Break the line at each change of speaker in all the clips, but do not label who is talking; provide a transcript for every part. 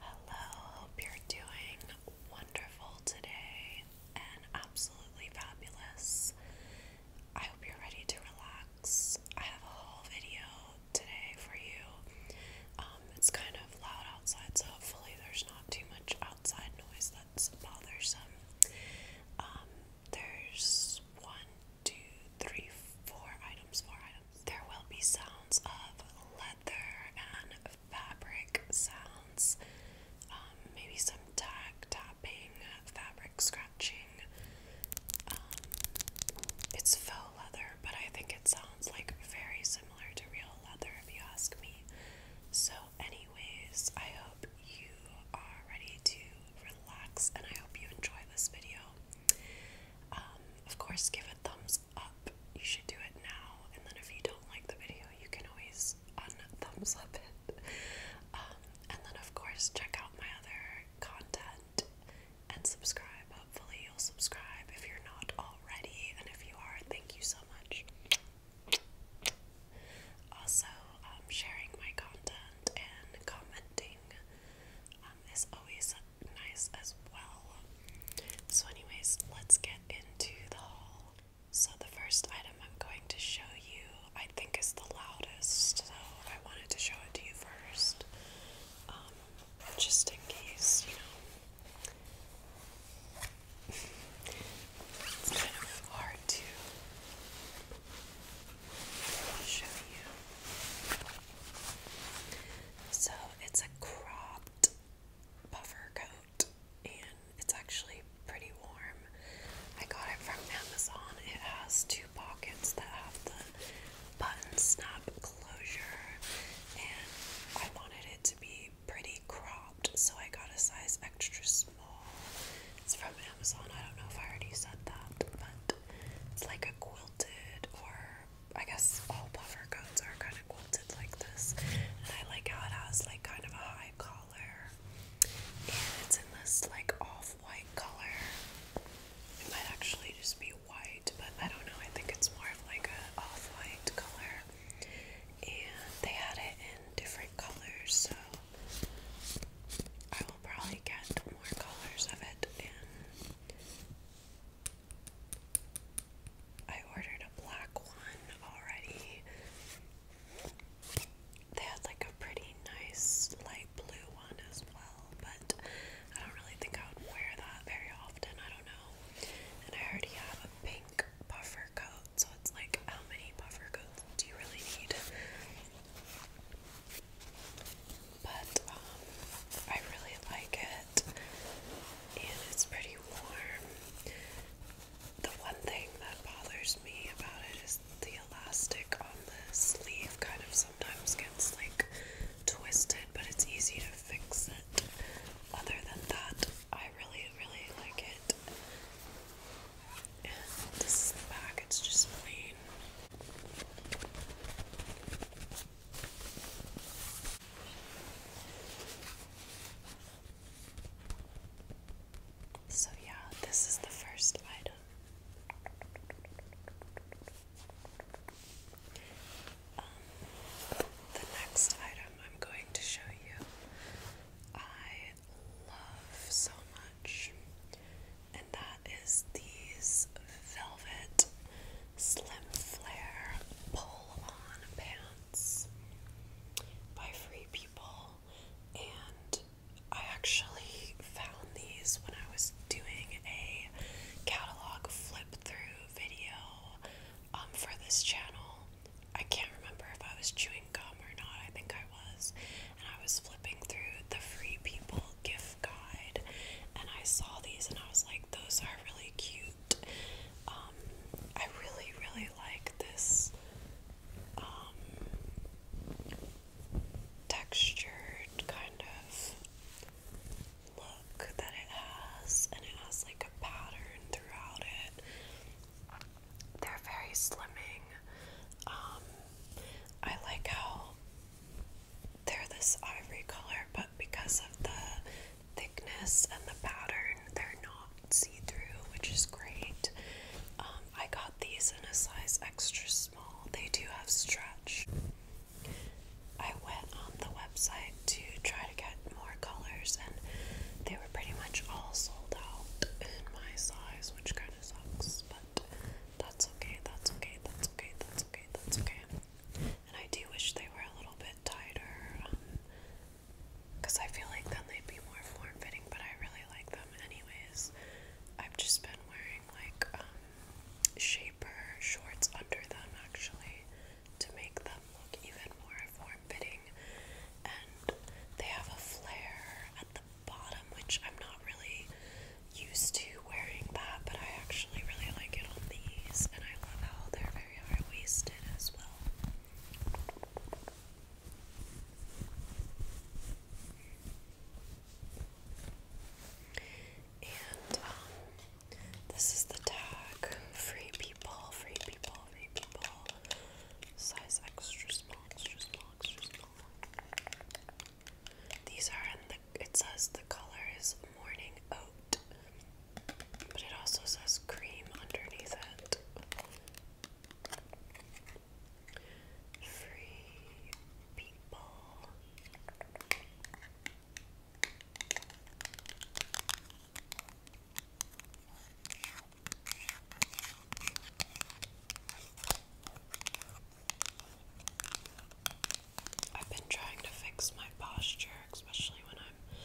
Hello, hope you're doing wonderful today and absolutely fabulous. I hope you're ready to relax. I have a whole video today for you. Um, it's kind of loud outside, so hopefully, there's not too much outside noise bothersome. Um, there's one, two, three, four items, four items. There will be sounds of leather and fabric sounds, um, maybe some tack tapping, fabric scratching. Um, it's faux leather, but I think it sounds like very similar to real leather if you ask me. So anyways, I hope you are ready to relax and I hope you enjoy this video. Um, of course, give a thumbs up. You should do it now. And then if you don't like the video, you can always un-thumbs up it. Um, and then of course, check out my other content and subscribe. Hopefully you'll subscribe if you're not already. And if you are, thank you so much. Also, um, sharing my content and commenting um, is always nice as well. So, anyways, let's get into the haul. So, the first item I'm going to show you, I think, is the loudest. So, I wanted to show it to you first, um, just in case, you know it's kind of hard to show you. So it's a cropped puffer coat, and it's actually pretty warm. I got it from Amazon. It has two pockets that have the button snap closure, and I wanted it to be pretty cropped, so I got a size extra small. It's from Amazon. I don't know if I already said that, but it's like a quilted, or I guess all puffer coats are kind of quilted like this. And I like how it has like kind of a high collar, and it's in this like off-white color. It might actually just be white, but I don't know. I think it's more of like a off-white color and they had it in different colors, so I will probably get more colors of it. I ordered a black one already. They had like a pretty nice light blue one as well, but I don't really think I would wear that very often. I don't know. And I already have a pink puffer coat. So it's like, how many puffer coats do you really need? But um, I really like it, and it's pretty warm. The one thing that bothers me about it is the elastic on the sleeve kind of sometimes gets like twisted, but it's easy to fix it. Other than that, I really, really like it it's just plain. So, yeah, this is the first item. Um, the next item I'm going to show you, I love so much, and that is these velvet slim flare pull on pants by Free People. And I actually found these when I was doing a catalog flip through video um, for this channel. I can't remember if I was chewing gum or not. I think I was. And I was flipping through the Free People gift guide and I saw these and I was like, those are really cute. Um, I really, really like this um, textured kind of look that it has, and it has like a pattern throughout it. They're very slimming. Um, I like how they're this ivory color, but because of the thickness and the pattern, they're not see through, which is great. Um, I got these in a size extra small, they do have stretch. I went on the website to try to get more colors, and they were they were pretty much all sold out in my size, which kind of sucks, but that's okay, that's okay, that's okay, that's okay, that's okay. And I do wish they were a little bit tighter, because um, I feel like then they'd be more form fitting, but I really like them anyways. I've just been wearing like um, shaper shorts under them actually to make them look even more form fitting, and they have a flare at the bottom, which I'm not really used to wearing but I actually really like it on these, and I love how they're very high waisted as well. And um, this is the tag: free people, free people, free people. Size extra small, extra small, extra small. These are in the, it says the color is morning oat, but it also says cream underneath it. Free people. I've been trying to fix my posture, especially when I'm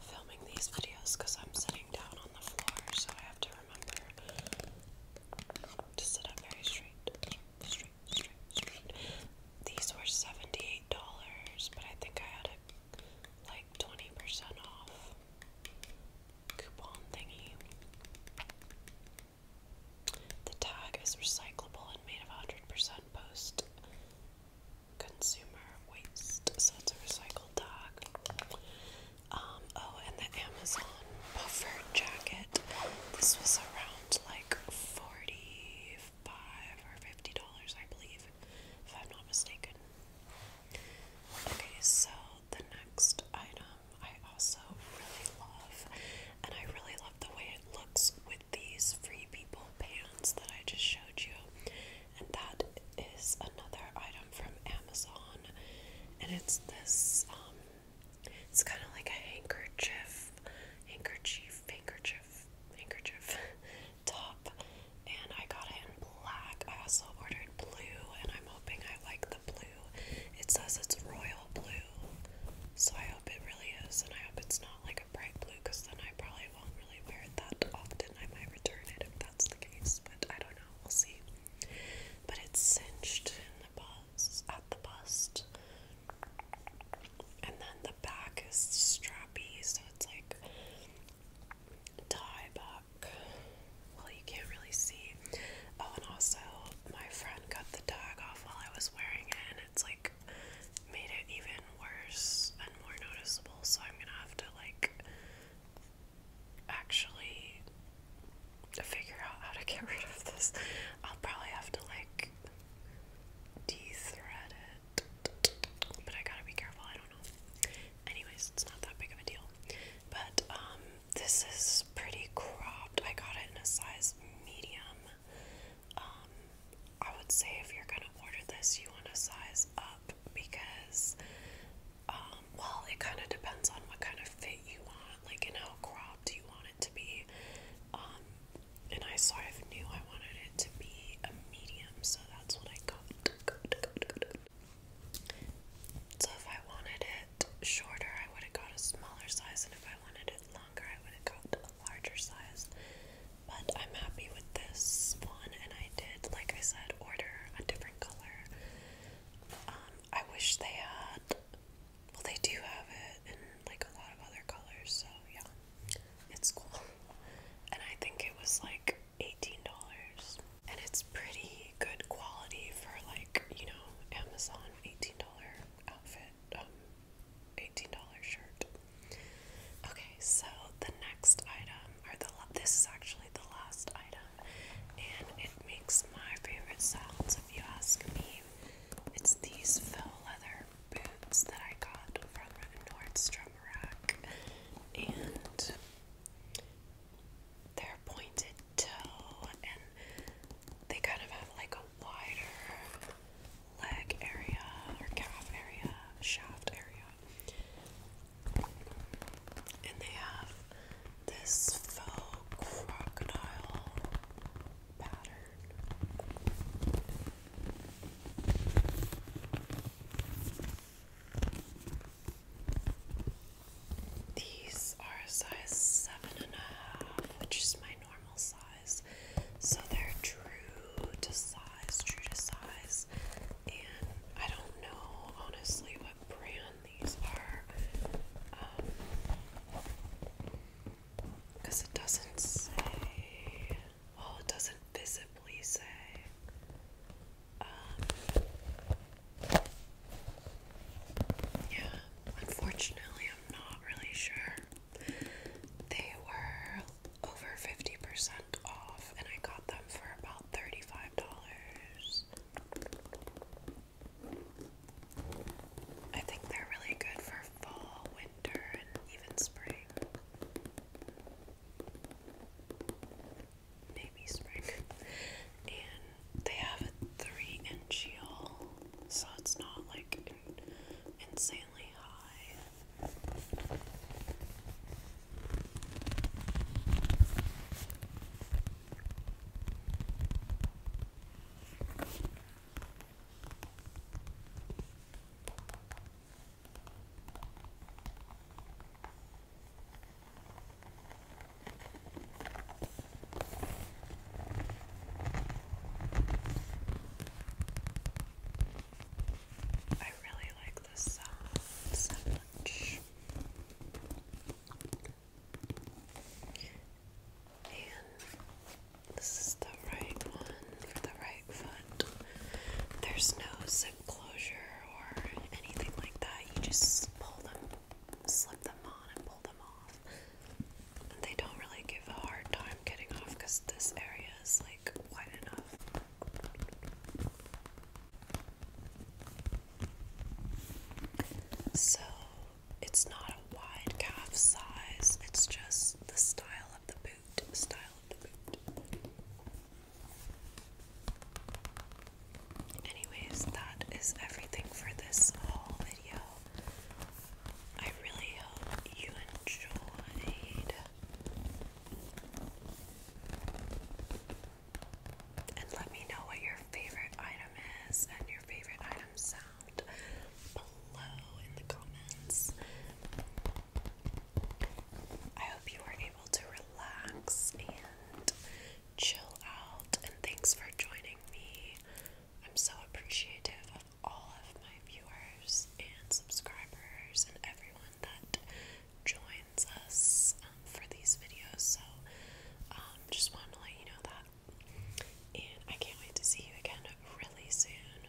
filming these videos, because I'm sitting down on the floor, so I have to remember to sit up very straight. These were $78, but I think I had it like 20% off coupon thingy. The tag is recyclable and made of 100% post consumer waste, so it's a recycled tag. Um, oh, and the Amazon puffer jacket. This was around like 45 or $50, I believe, if I'm not mistaken. Okay, so the next item I also really love, and I really love the way it looks with these Free People pants that I just showed you. And that is another item from Amazon, and it's this um, it's kind of like a handkerchief, handkerchief, handkerchief, handkerchief. top, and I got it in black. I also ordered blue, and I'm hoping I like the blue. It says it's royal blue, so I hope it really is, and I hope it's not like a bright blue because then I probably won't really wear it that often. I might return it if that's the case, but I don't know. We'll see. But it's cinched in the bust, at the bust. And then the back is strappy, so it's like tie back. Well, you can't really see. Oh, and also, my friend cut the tag off while I was wearing it, and it's like made it even worse and more noticeable. So, I'm gonna have to like actually figure out how to get rid of this. I'll probably have to like de thread but I gotta be careful, I don't know. Anyways, it's not that big of a deal. But um this is pretty cropped. I got it in a size medium. Um I would say if you're gonna order this you want to size up because um well it kinda depends on what kind of fit you want, like and how cropped you want it to be. Um and I sort of knew I wanted it to be a medium, so that's what I got. So if I wanted it shorter, I would have got a smaller size, and if I wanted it longer, I would have got a larger size. But I'm happy with this one, and I did, like I said, order a different color. Um, I wish they had. Well, they do have it in like a lot of other colors, so yeah, it's cool. And I think it was like $18. And it's pretty good quality for like, you know, Amazon $18 outfit, um, $18 shirt. Okay, so the next item, or the this is actually the last item, and it makes my favorite sounds if you ask me. It's these faux leather boots that I got from Nordstrom rack, and their pointed toe, and they kind of have like a wider leg area or calf area, shaft area, and they have this faux crocodile pattern. These are a size seven and a half, which is my normal size. So they're true to size, true to size. And I don't know honestly what brand these are. because um, it doesn't say well, oh, it doesn't visibly say. Um, yeah, unfortunately, I'm not really sure. They were over 50% off, and I got them for about $35. I think they're really good for fall, winter, and even spring maybe spring. And they have a three inch heel, so it's not like insanely high. I really like this sound And this is the right one for the right there's no zip closure or anything like that. You just pull them, slip them on, and pull them off. And they don't really give a hard time getting off because this area is like wide enough. So it's not a wide calf size, it's just the style of the boot. Style of the boot. Anyways, that is everything for this whole video. I really hope you enjoyed. And let me know what your favorite item is and your favorite item sound below in the comments. I hope you were able to relax and chill out, and thanks for joining me. I'm so appreciative of all of my viewers and subscribers and everyone that joins us um, for these videos. So, um, just wanted to let you know that. And I can't wait to see you again really soon.